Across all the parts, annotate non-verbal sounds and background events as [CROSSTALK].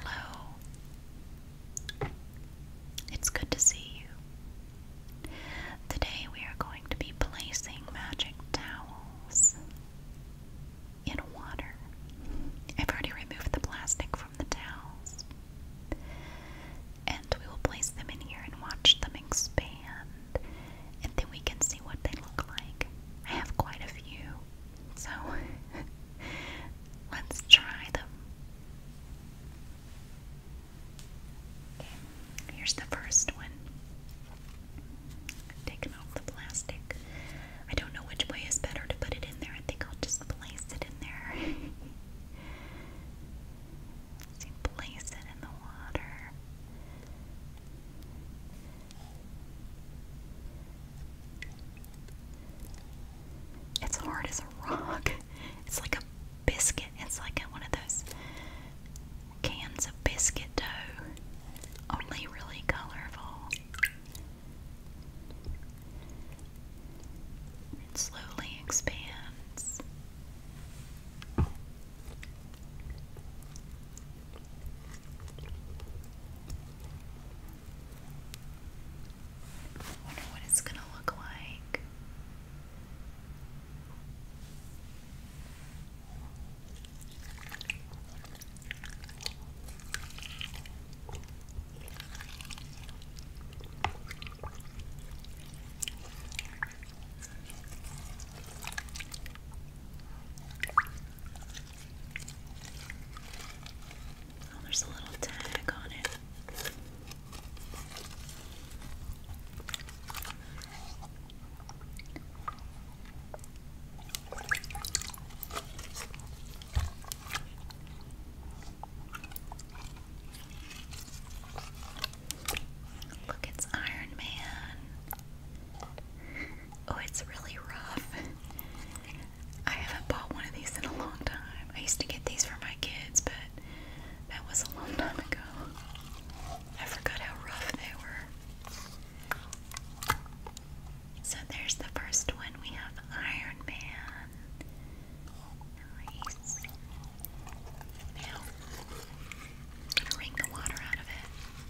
Hello. It's good to see you. Today we are going to be placing magic towels in water. I've already removed the plastic from the towels. And we will place them in here and watch them expand and then we can see what they look like. I have quite a few, so [LAUGHS] let's try them. Okay, here's the first one. Taking off the plastic. I don't know which way is better to put it in there. I think I'll just place it in there. so [LAUGHS] place it in the water. It's hard as a rock. [LAUGHS] It's like a biscuit. It's like one of those cans of biscuit dough, only really colorful. It slowly expands. Wonder what it's gonna look like. Oh, there's a little tag on it. Look, it's Iron Man. [LAUGHS] Oh, it's really rough. I haven't bought one of these in a long time. I used to get these for my kids, but that was a long time ago. I forgot how rough they were. So there's the first one. We have Iron Man. Nice. Now, I'm gonna wring the water out of it.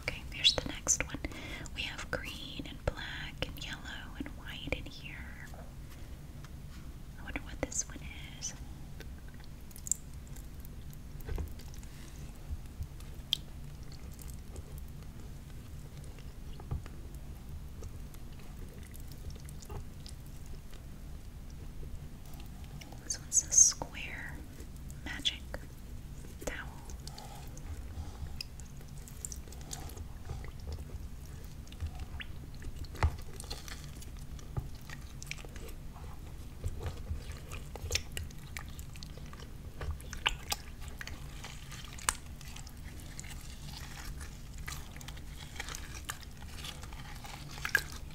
Okay, here's the next one. We have green and black and yellow and white in here. I wonder what this one is. This one's a square magic towel.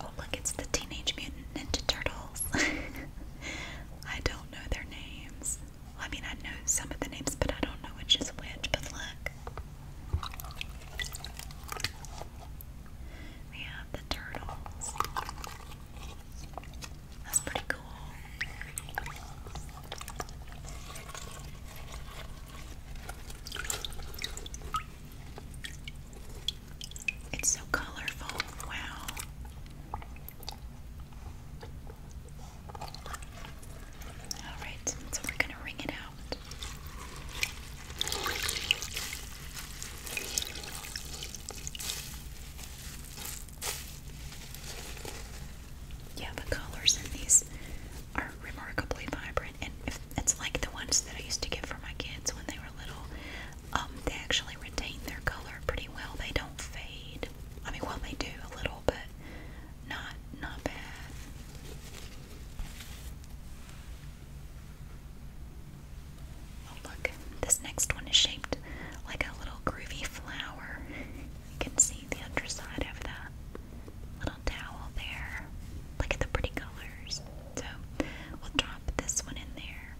Oh, look, it's the Teenage Mutant Ninja Turtles. [LAUGHS] I don't know their names. I mean, I know some of the names, but I don't know which is which. But look. We have the turtles. That's pretty cool. It's so colorful. Wow. All right, so we're going to wring it out. Yeah, the colors in these are remarkably vibrant and if it's like the ones that I used to get for my kids when they were little. Um, they actually retain their color pretty well. They don't fade. I mean, well, they do a little, but not not bad. Oh look, this next one is shaped like a little groovy flower. [LAUGHS] You can see the underside of that little towel there. Look at the pretty colors. So we'll drop this one in there.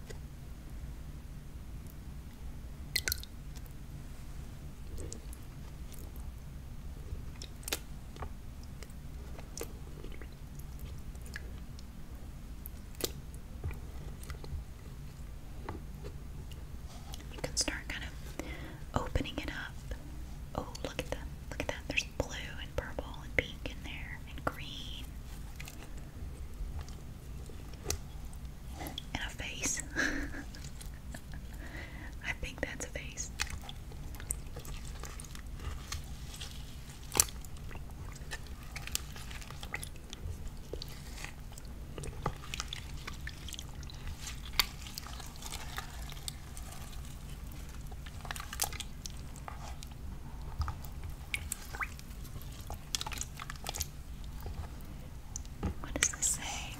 You can start kind of opening it up. Oh, look at that! Look at that! they blue and purple and pink in there and green. And a face. [LAUGHS] I think that's a face. What does this say?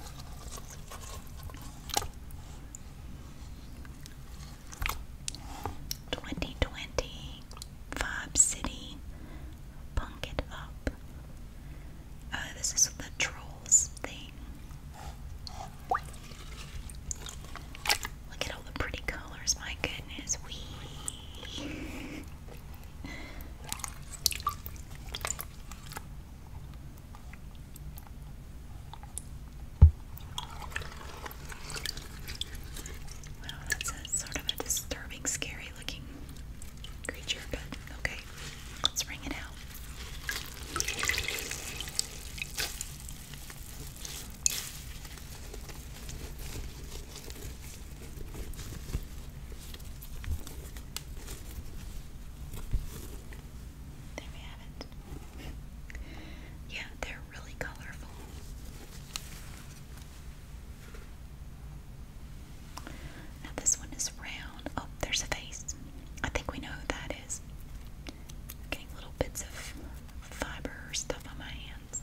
Twenty twenty Vibe City Punk It Up. Oh, this is the trolls thing. Look at all the pretty colors, my goodness. Wee. that's a sort of a disturbing, scary looking creature, but okay, let's bring it out. There we have it. Yeah, they're really colorful. Now, this one is round. Oh, there's a face. I think we know who that getting little bits of fiber stuff on my hands.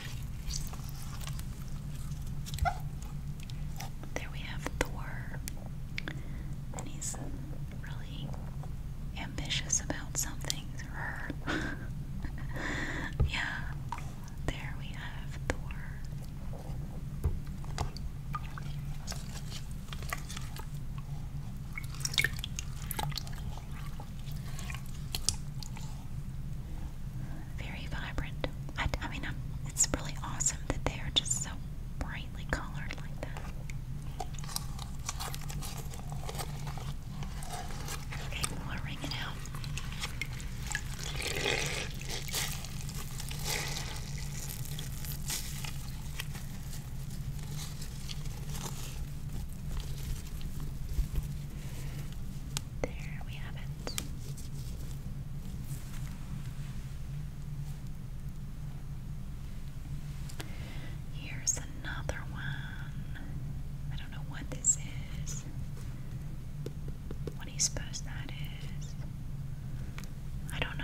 There we have Thor. And he's really ambitious about something. [LAUGHS] yeah. There we have Thor. Very vibrant. I, mean, I'm, it's really awesome that they are just so brightly colored like that. Okay, we'll ring out. There we have it. Here's another one. I don't know what this is. What do you suppose that is? I don't know.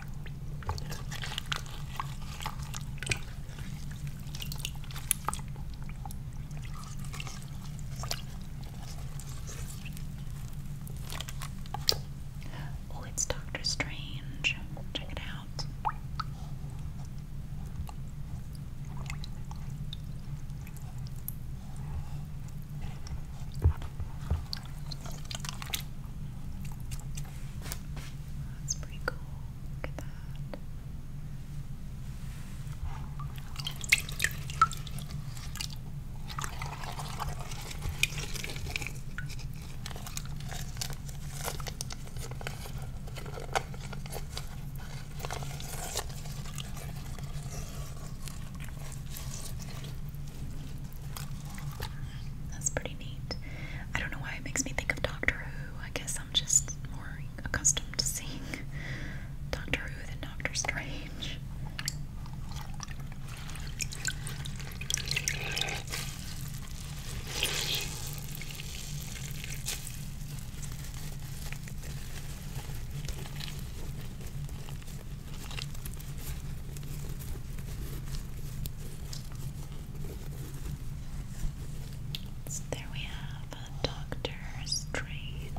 Oh, it's Doctor Strange. Check it out. That's pretty cool. Look at that. That's pretty neat. I don't know why it makes me think of Doctor Who. I guess I'm just more accustomed to seeing [LAUGHS] Doctor Who than Doctor Strange. So there we have Doctor Strange,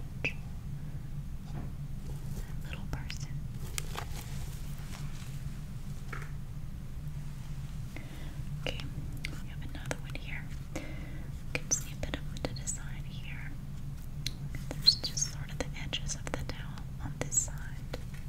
little person. Okay, we have another one here. You can see a bit of the design here. There's just sort of the edges of the towel on this side.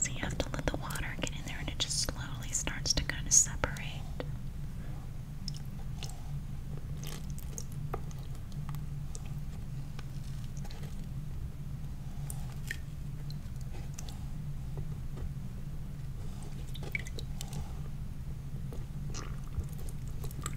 So you have to let the water get in there and it just slowly starts to kind of separate.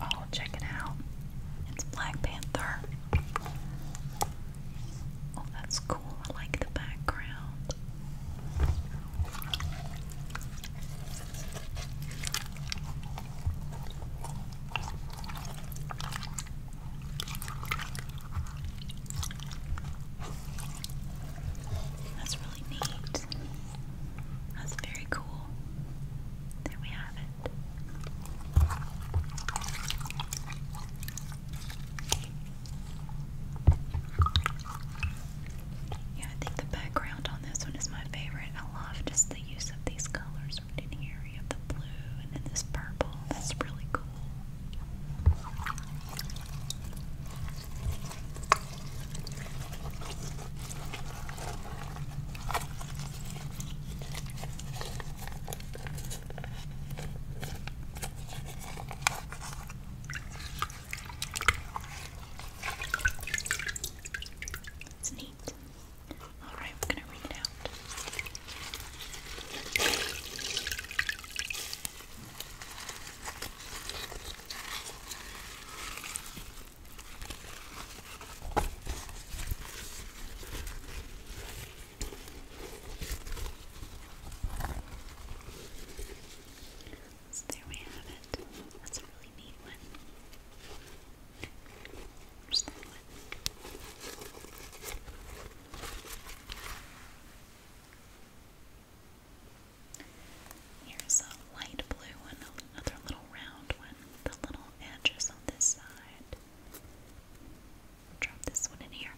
Oh, check it out. It's Black Panther. Oh, that's cool. I like the background. That's really neat. That's very cool. There we have it. Yeah, I think the background on this one is my favorite. I love just the use of these colors right here. You have the blue and then this purple. That's really cool. It's neat. All right, we're going to read it out. So there we have it. That's a really neat one. Where's that one? Here's a light blue one, another little round one, the little edges on this side. Drop this one in here.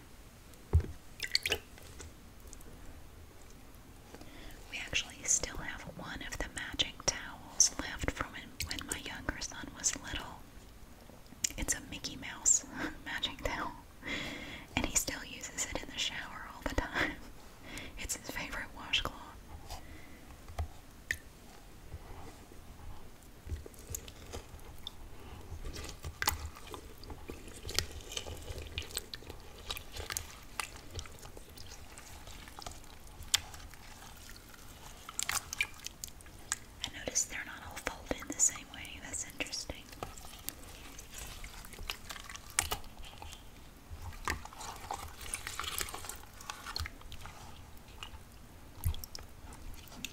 We actually still have one of the magic towels left from when my younger son was little. It's a Mickey Mouse [LAUGHS] magic towel, and he still uses it in the shower all the time. [LAUGHS] It's his favorite washcloth. I noticed they're not all folded in the same way. That's interesting.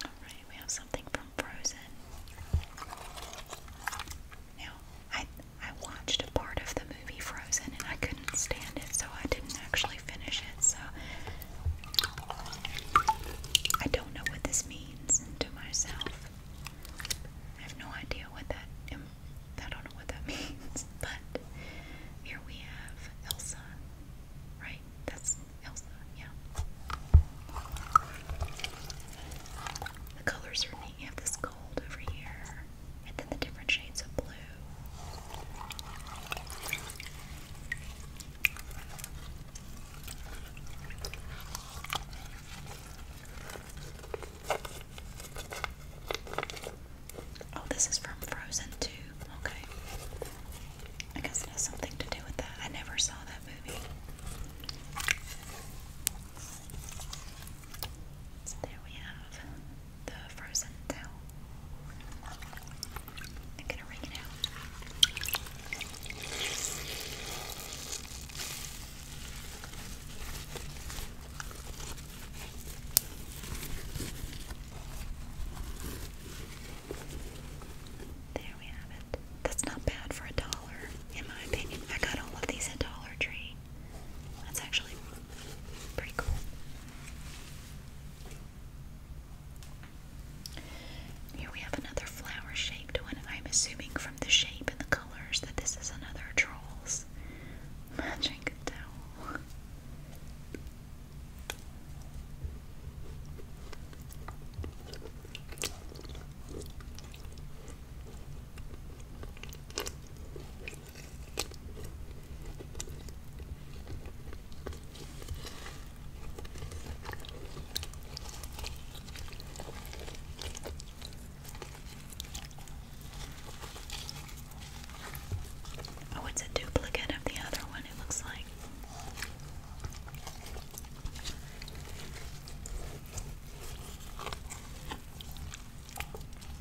Alright, we have something from Frozen. Now, I I watched a part of the movie Frozen and I couldn't stand it, so I didn't actually finish it. So I don't know what this means to myself. I have no idea what that I don't know what that [LAUGHS] means, but here we have Elsa, right? That's Elsa, yeah. The colors are neat. You have this gold over here, and then the different shades of blue. Oh, this is from Frozen 2. Okay. I guess it has something to do with that. I never saw that movie. So there we have the frozen towel. I'm gonna wring it there we have it. That's not bad for a dollar, in my opinion. I got all of these at Dollar Tree. That's actually pretty cool. Here we have another flower shaped one, I'm assuming from the shape and the that this is another Trolls magic towel. Oh, it's a duplicate of the other one, it looks like.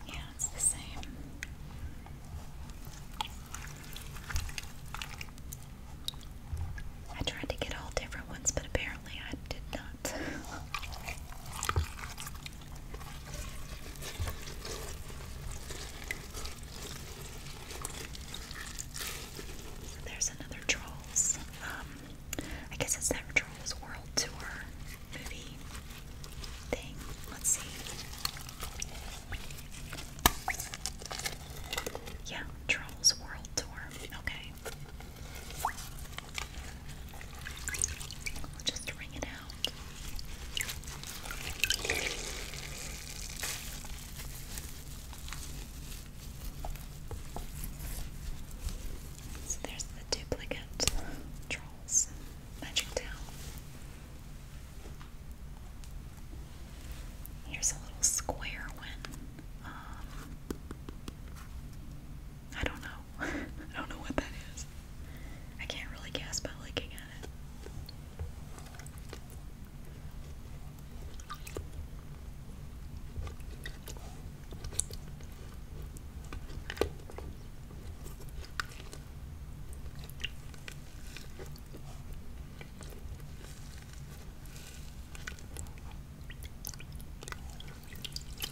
Yeah, it's the same. I tried to get all different ones, but apparently I did not. [LAUGHS] There's another Trolls. Um, I guess it's that Trolls World Tour movie thing. Let's see. Yeah, Trolls World Tour. Okay. just ring it so there's the duplicate trolls, magic town. Here's a little square one. Um, I don't know. [LAUGHS] I don't know what that is. I can't really guess by looking at it.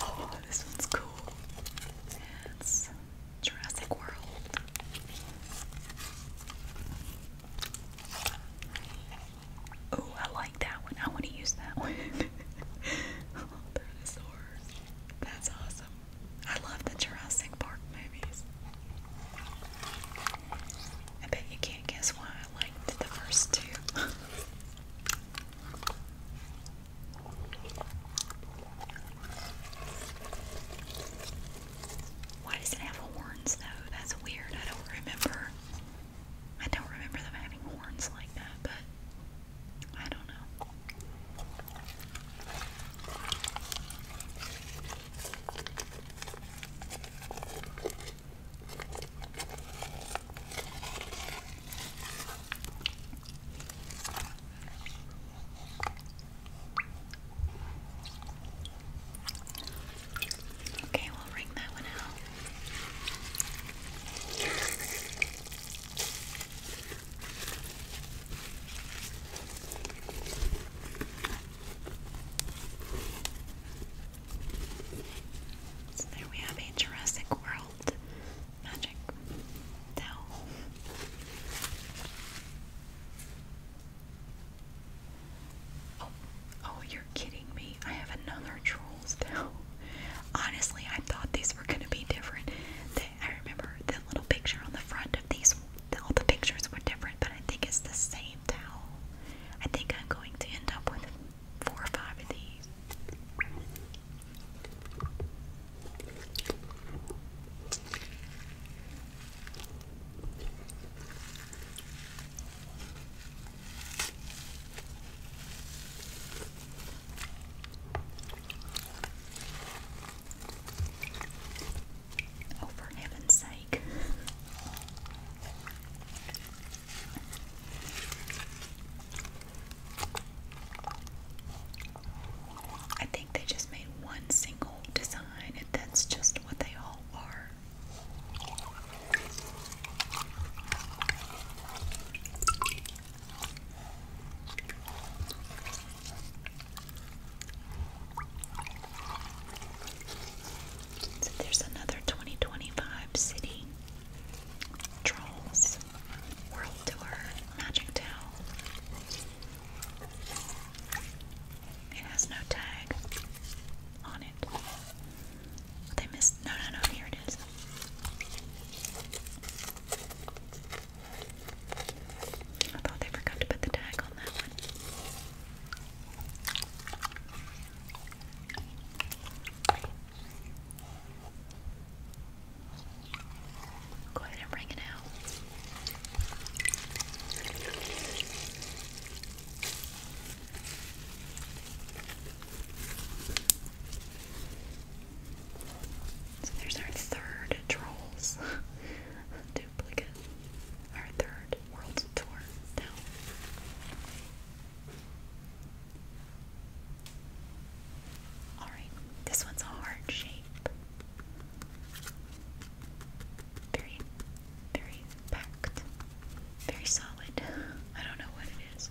Oh, this one's cool. It's Jurassic World. Oh, I like that one. I want to use that one. [LAUGHS] oh, dinosaurs. That's awesome. I love the Jurassic Park movies. I bet you can't guess why I liked the first two. [LAUGHS] why does it have horns though? That's weird. I don't remember. I don't remember them having horns like that, but I don't know. Okay, we'll ring that one out. So there we have a Jurassic World magic Oh, oh, you're kidding me. I have another Trolls towel. [LAUGHS] Honestly, I thought these these were going to be different. I remember the little picture on the front of these, all the pictures were different, but I think it's the same towel. I think I'm going to end up with four or five of these. Oh, for heaven's sake. I think they just made one single design, and that's just what they all are. So there's another 2025 city trolls world tour magic towel. It has no tag on it. they missed. No, no, no. Here it is. I thought they forgot to put the tag on that one. Go ahead and bring it out. So there's our third Trolls [LAUGHS] duplicate. Our third World Tour Alright, this one's a heart shape. Very, very packed. Very solid. I don't know what it is.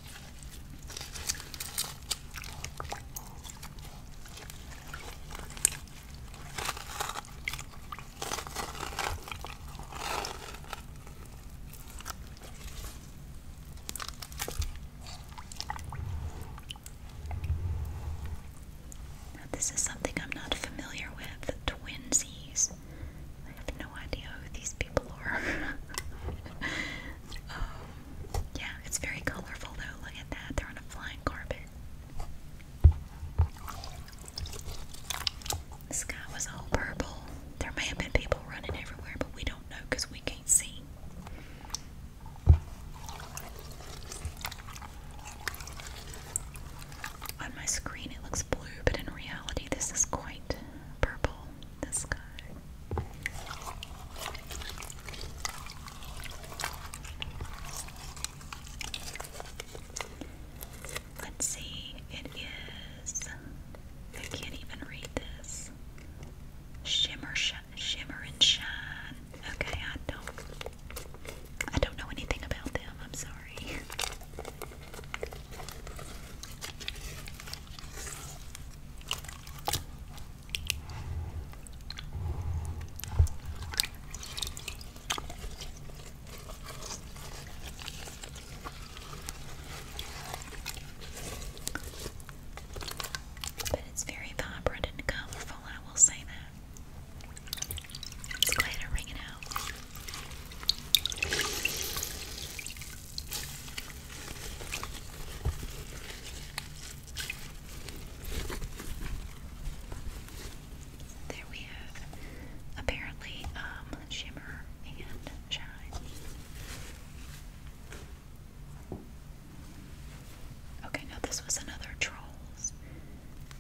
this is something I'm not familiar with twinsies. I have no idea who these people are. [LAUGHS] Um, yeah, it's very colorful though. Look at that. They're on a flying carpet. The sky was all purple. There may have been people running everywhere, but we don't know because we can't see. On my screen, it looks blue, but in reality, this is quite purple this guy. Let's see, it is. I can't even read this. Shimmer, sh shimmer and shine. Okay, I don't. I don't know anything about them. I'm sorry. But it's very vibrant and colorful, I will say that. Let's go ahead and out. There we have apparently um, shimmer and shine. Okay, now this was another Trolls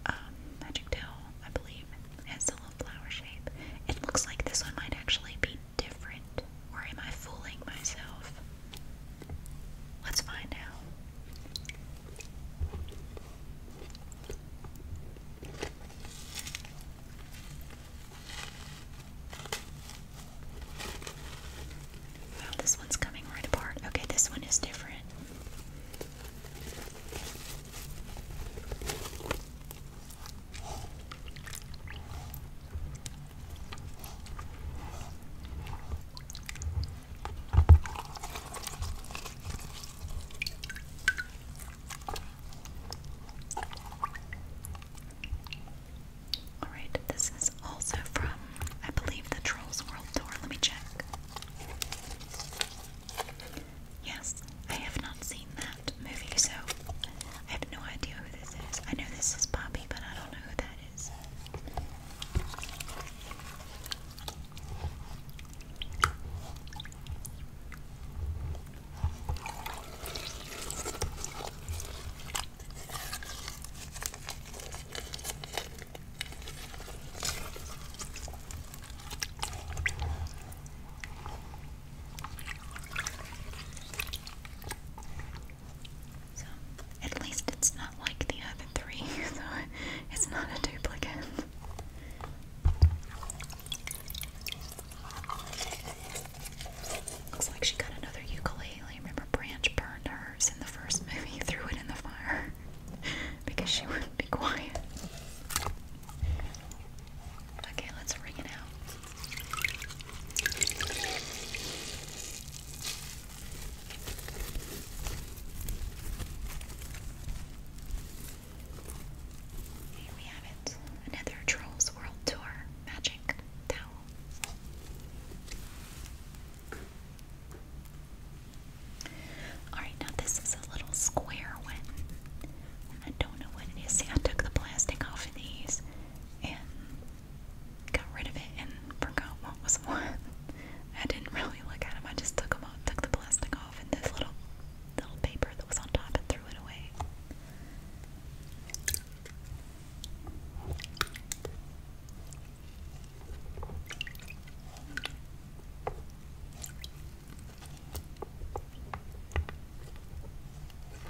um, Magic Tail, I believe. has a little flower shape. It looks like this one might actually be different? Or am I fooling myself? Let's find out. Wow, this one's coming right apart. Okay, this one is different. All right, this is also from, I believe, the Trolls World Tour. Let me check. Yes, I have not seen that movie, so I have no idea who this is. I know this is Poppy, but I don't know who that is. So, at least it's not like the other three, [LAUGHS] so it's not a duplicate. Looks like she got another ukulele. Remember, Branch burned hers in the first [LAUGHS] movie, threw it in the fire [LAUGHS] because she wouldn't be quiet. Okay, let's ring it out. Here we have it. Another Trolls World Tour magic towel. Alright, now this is a little square one. I don't know what it is. I took the plastic off of these and got rid of it and forgot what was [LAUGHS] what. I didn't really look at him. I just took him off, took the plastic off, and this little little paper that was on top, and threw it away.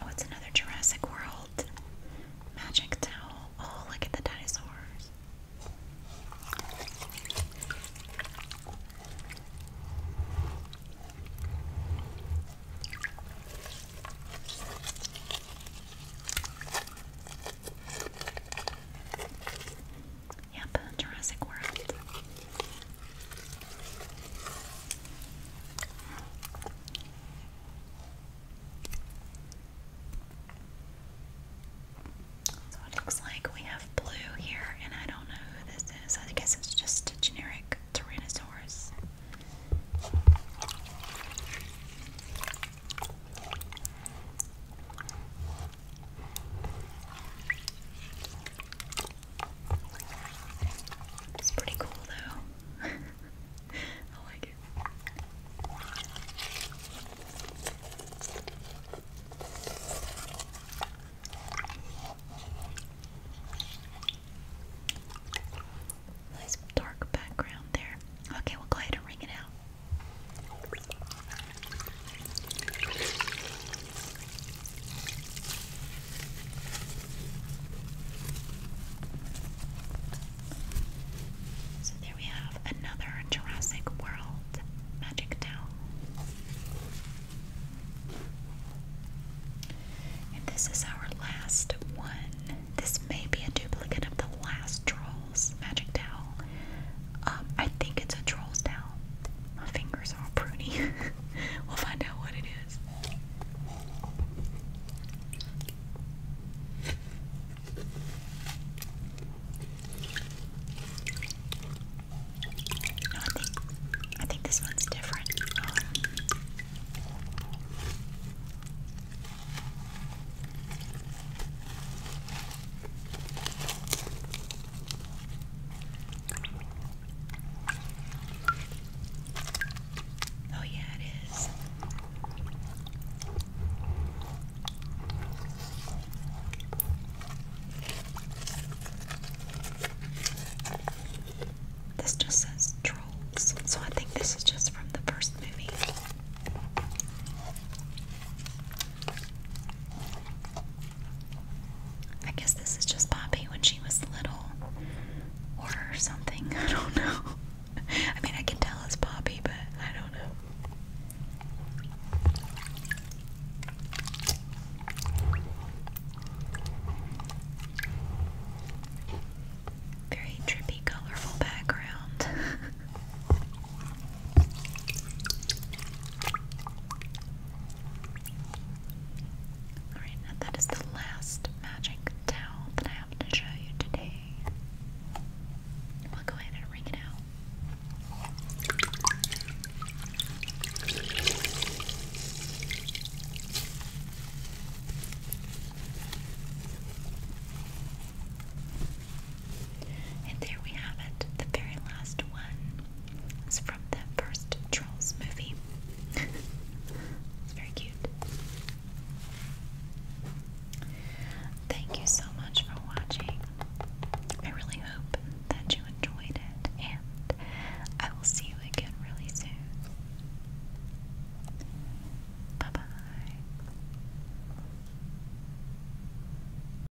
Oh, another Jurassic World magic towel. Oh, look at the dinosaurs. Yep, Jurassic World. So it looks like we have blue here, and I don't know who this is. I guess it's just a generic Tyrannosaurus. It's pretty cool though. [LAUGHS] I like it. Nice dark background there. Okay, we'll go ahead and ring it out. So there we have another Jurassic World magic towel. And this is our last one. This may be a duplicate of the last Trolls magic towel, um, I think it's a troll's towel. My fingers are all pruny. [LAUGHS] we'll find out what it is. I think this one's different. Um, Oh, yeah, it is. This just says trolls, so I think this is just from the first movie. I guess this is just Poppy when she was little or something. [LAUGHS] I don't know. I mean, I can tell it's Poppy, but I don't know. Very trippy, colorful background. [LAUGHS] Alright, now that is the last magic towel that I have to show you today. We'll go ahead and wring it out. And there we have it. The very last one is from the first Trolls movie. [LAUGHS] it's very cute. Thank you so much for watching. I really hope that you enjoyed it, and I will see you again really soon. Bye bye.